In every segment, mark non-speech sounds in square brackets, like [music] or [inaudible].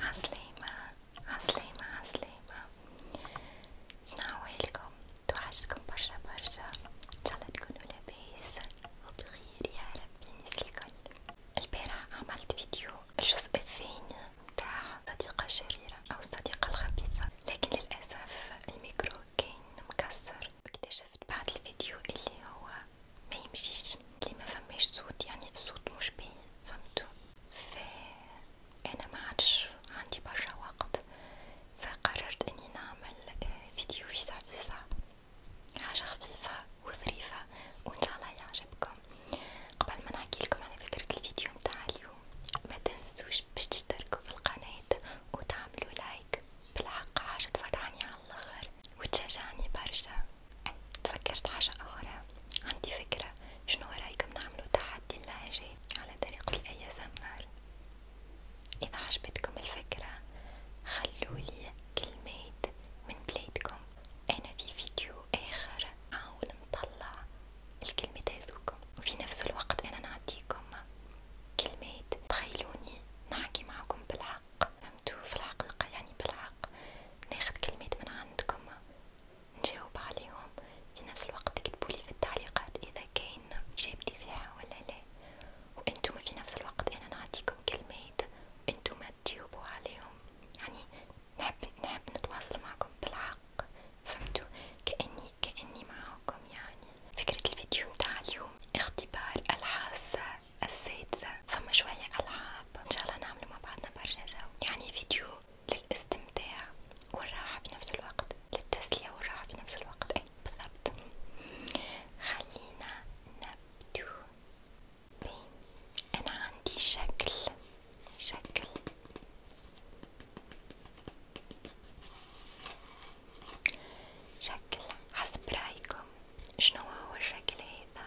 عسلامة عسلامة عسلامة شنعوالكم توحشكم برشا برشا ان شاء الله تكونوا لاباس وبخير يا ربي الناس الكل البارح عملت فيديو الجزء الثاني متاع صديقة شريرة او الصديقة الخبيثة لكن للأسف الميكرو كان مكسر واكتشفت بعد الفيديو اللي هو ما يمشيش اللي فماش صوت يعني الصوت مش باين فهمتوا فانا ما عادش عندي برشا وقت فقررت اني نعمل فيديو فيسا فيسا حاجه خفيفه وظريفه وان شاء الله يعجبكم قبل ما نحكيلكم على فكره الفيديو متاع اليوم ما باش تشتركوا في القناه وتعملوا لايك بالحق حاجه تفرحني على الاخر وتشجعني برشا تفكرت حاجة أخرى عندي فكرة شنو رايكم نعملو تحدي اللهجات على طريقة الأي اس ام ار إذا عجبتكم الفكرة خلولي كلمات من بلادكم أنا في فيديو آخر نحاول نطلع الكلمات هذوكم وفي نفس الوقت أنا نعطيكم كلمات تخيلوني نحكي معاكم بالحق فهمتو في الحقيقة يعني بالحق ناخد كلمات من عندكم نجاوب عليهم في نفس الوقت تكتبولي في التعليقات اذا كاين اجابتي صحيحة ولا لا وانتم في نفس الوقت انا نعطيكم كلمات وانتم تجاوبوا عليهم يعني نحب نحب نتواصل معكم بالحق فهمتوا كاني كاني معاكم يعني فكرة الفيديو متاع اليوم اختبار الحاسة السادسة فما شوية العاب حابة إن شاء الله نعملوا مع بعضنا برشا سوا يعني فيديو للاستمتاع والراحة في نفس الوقت للتسلية والراحة في نفس الوقت أي بالضبط خلينا نبدو بي. أنا عندي شكل شكل شكل حسب رايكم شنو هو الشكل هذا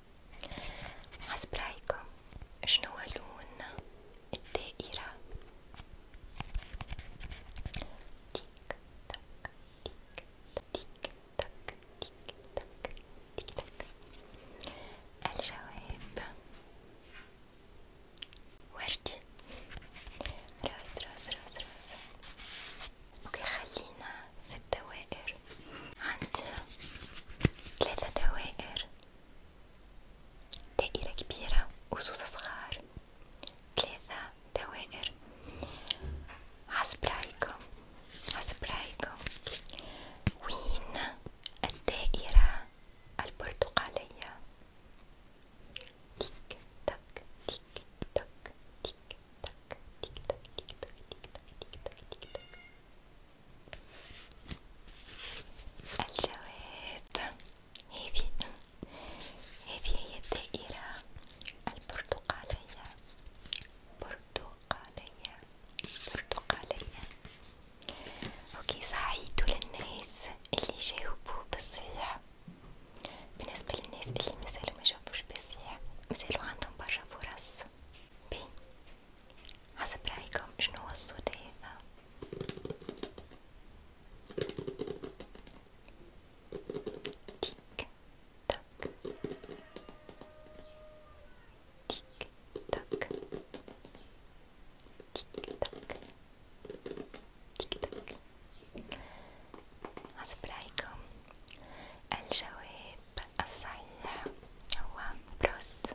حسب رايكم شنو لون الدائرة؟ تيك تك تيك تيك تك تيك تك تيك تك الجواب وردي راس راس راس راس اوكي خلينا في الدوائر عند ثلاثة دوائر دائرة كبيرة وصوص صغار ثلاثة دوائر حسب رأيكم حسب رأيكم وين الدائرة البرتقالية تيك تك تيك تك تيك تك تيك تك تيك تك تيك تك تيك تك الجواب هذه هذه هي الدائرة البرتقالية برتقالية برتقالية اوكي سعيد للناس اللي جاوبوا بالصحيح بالنسبة للناس اللي مازالوا ما جاوبوش بالصحيح مازالوا عندهم برشا فرص بي حسب رأيكم شنو هو الصوت هذا؟ تيك تك تيك تك تيك تك تيك تك حسب رأيكم الجواب الصحيح هو بروس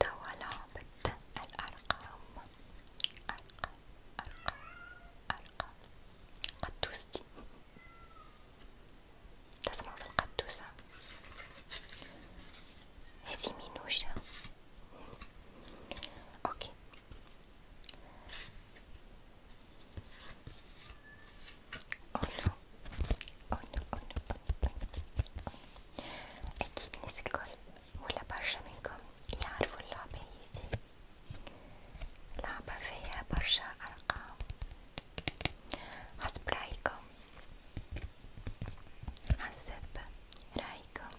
توا لعبة الأرقام أرقام أرقام أرقام قدوستي تسمع في القدوسة هذه منوشة اوكي قولوا قولوا قولوا أكيد ناس الكل ولا برشا منكم يعرفوا اللعبة هذي لعبة فيها برشا أرقام حسب رأيكم حسب رأيكم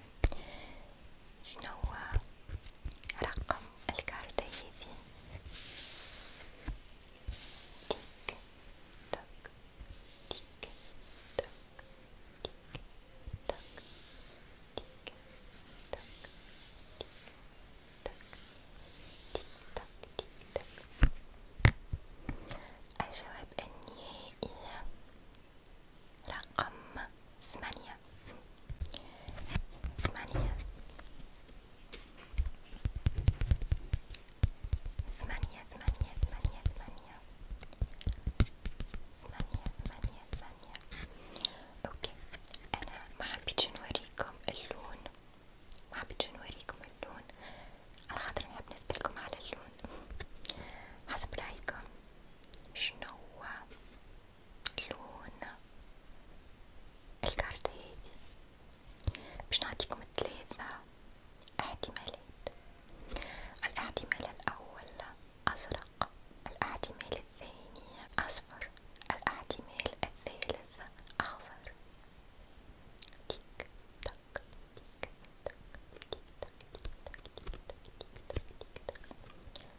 شنوا رقم الكارت هيدي تيك تك تيك تك تيك تك تيك تك تك تك تك الجواب النهائي رقم ثمانية ثمانية ثمانية ثمانية ثمانية ثمانية ثمانية ثمانية ثمانية اوكي انا ما حبيت نوريكم اللون ما حبيت نوريكم اللون على خاطر نحب نسألكم على اللون حسب رايكم شنو لون الكارت هادي باش نعطيكم ثلاثة احتمالات الاحتمال الأول أزرق الاحتمال الثاني أصفر الاحتمال الثالث أخضر تيك تك تيك تك تيك تك تيك تك تيك تك تيك تك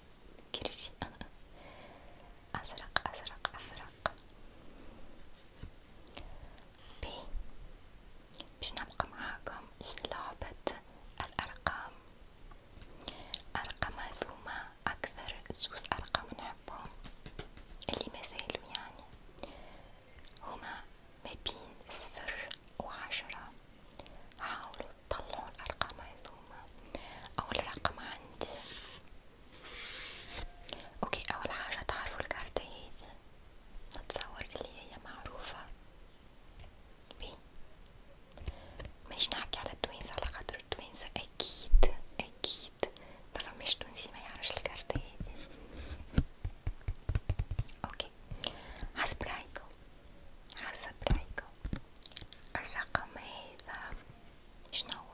كرشي [laughs] أزرق أزرق أزرق ب باش نبقى معاكم في لعبة الأرقام أرقام هذوما أكثر زوز أرقام نحبهم اللي مازالوا يعني هما ما بين صفر وعشرة حاولوا تطلعوا الأرقام هذوما أول رقم عندي اوكي اول حاجة تعرفوا الكارتة هذي نتصور اللي هي معروفة بي مانيش نحكي على التوينس على خاطر التوينس اكيد اكيد مفماش تونسي ميعرفش الكارتة هذي اوكي حسب رايكم حسب رايكم الرقم هذا شنو هو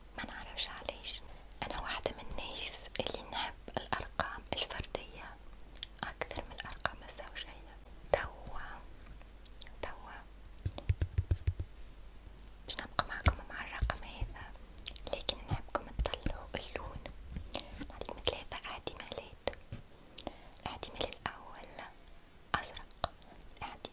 ما نعرفش علاش انا واحدة من الناس اللي نحب الارقام الفردية اكثر من الارقام الزوجية توا توا باش نبقى معكم مع الرقم هذا لكن نحبكم تطلعوا اللون نعطيكم ثلاثة احتمالات الاحتمال الاول ازرق الاحتمال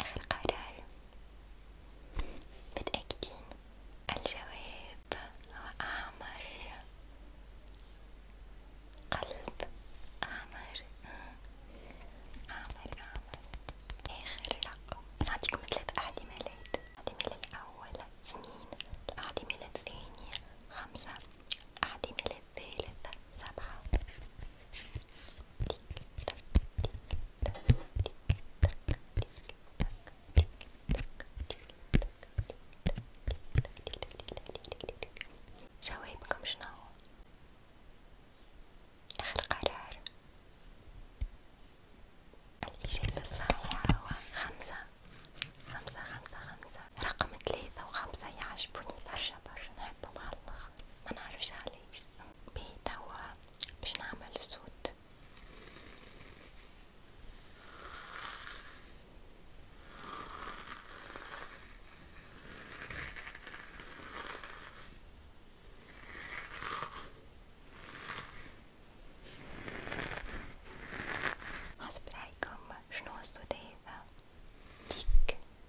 آخر قرار متأكدين الجواب هو أعمر قلب أعمر أعمر أعمر آخر رقم نعطيكم ثلاث أعدمالات الأعدمال الأول اثنين الأعدمال الثانية خمسة الأعدمال الثالث سبعة جوابكم شنو آخر قرار الإجابة الصحيحة هو خمسة خمسة خمسة خمسة رقم ثلاثة وخمسة يعجبوني برشا برا نحبه مع الآخر منعرفش علاش بيه توا باش نعمل صوت حسب رأيكم شنو الصوت هذا؟ تيك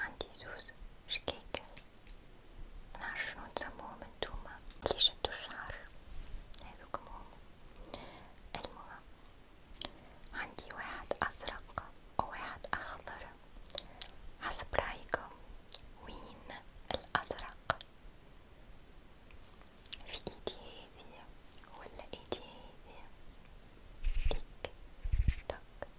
عندي زوز شكيكل منعرفش شنو تسموهم نتوما لي شدو الشعر هاذوك هما المهم عندي واحد ازرق وواحد اخضر حسب رايكم وين الازرق في ايدي هذي ولا ايدي هذي تك تك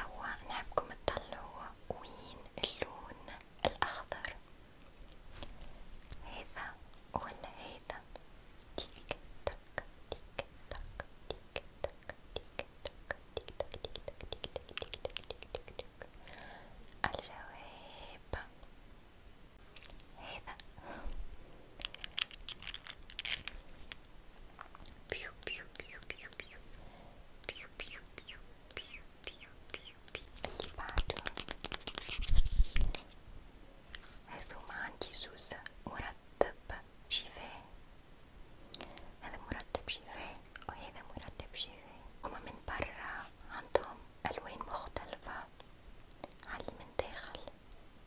هو نحبكم تطلعوا وين اللون الأخضر هذا ولا هذا تيك تك تيك تك تيك تك تيك تك تيك تك تيك تك تيك تك تيك تك الجواب هذا بيو بيو بيو بيو بيو بيو بيو بيو بيو بيو بيو بيو اللي بعده هذوما عندي زوز مرتب شفاه هذا مرتب شفاه وهذا مرتب شفاه هما من برا عندهم ألوان مختلفة علي من داخل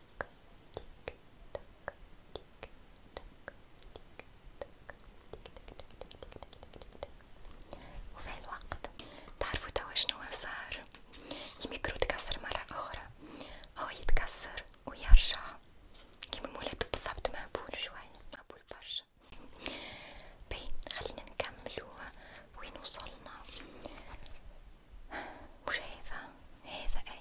تك تك تك تك تك وفي هالوقت تعرفوا توا شنو صار الميكرو تكسر مرة أخرى هو يتكسر ويرجع كيما مولد بالضبط مهبول شوية مهبول برشا باهي خلينا نكملو وين وصلنا وش هذا؟ هذا أي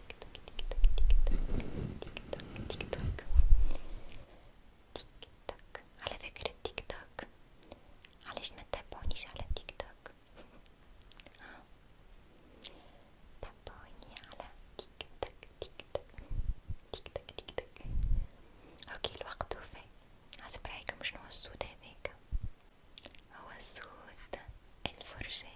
تيك توك تيك توك تيك توك تيك توك تيك توك على ذكر التيك توك علاش ما تتابعونيش على تيك توك ها تابعوني على تيك توك تيك توك تيك توك تيك توك اوكي الوقت وفي حسب رايكم شنو الصوت هذاك هو صوت الفرشات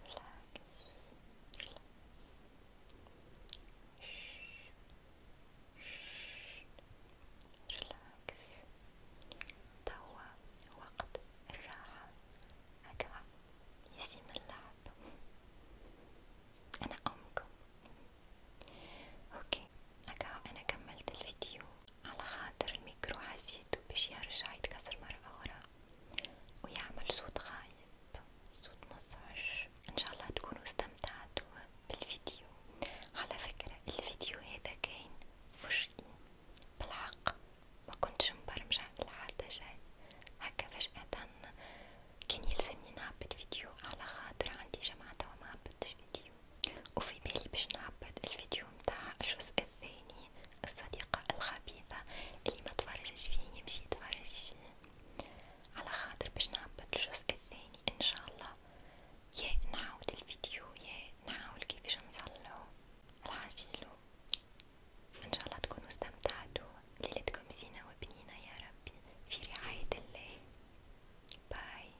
ريلاكس ريلاكس ريلاكس توا وقت الراحة هكا يسيم اللعب أنا أمكم أوكي هكا أنا كملت الفيديو على خاطر الميكرو حسيتو باش يرجع يتكسر مرة أخرى ويعمل صوت غايب صوت مزعج إن شاء الله تكونوا استمتعتوا بالفيديو على فكرة الفيديو هذا كان فجئي بالحق ما كنتش مبرمجة لحتى شيء هكا فجأة كان يلزمني نهبط فيديو على خاطر عندي جمعة وما هبطتش فيديو وفي بالي باش نعبد الفيديو متاع الجزء الثاني الصديقة الخبيثة اللي ما تفرجش فيه يمشي يتفرج فيه على خاطر باش نعبد الجزء الثاني ان شاء الله يا نعاود الفيديو يا نعاود كيفاش نصلحو العزيلو ان شاء الله تكونوا استمتعتوا ليلتكم زينة وبنينة يا ربي في رعاية الله باي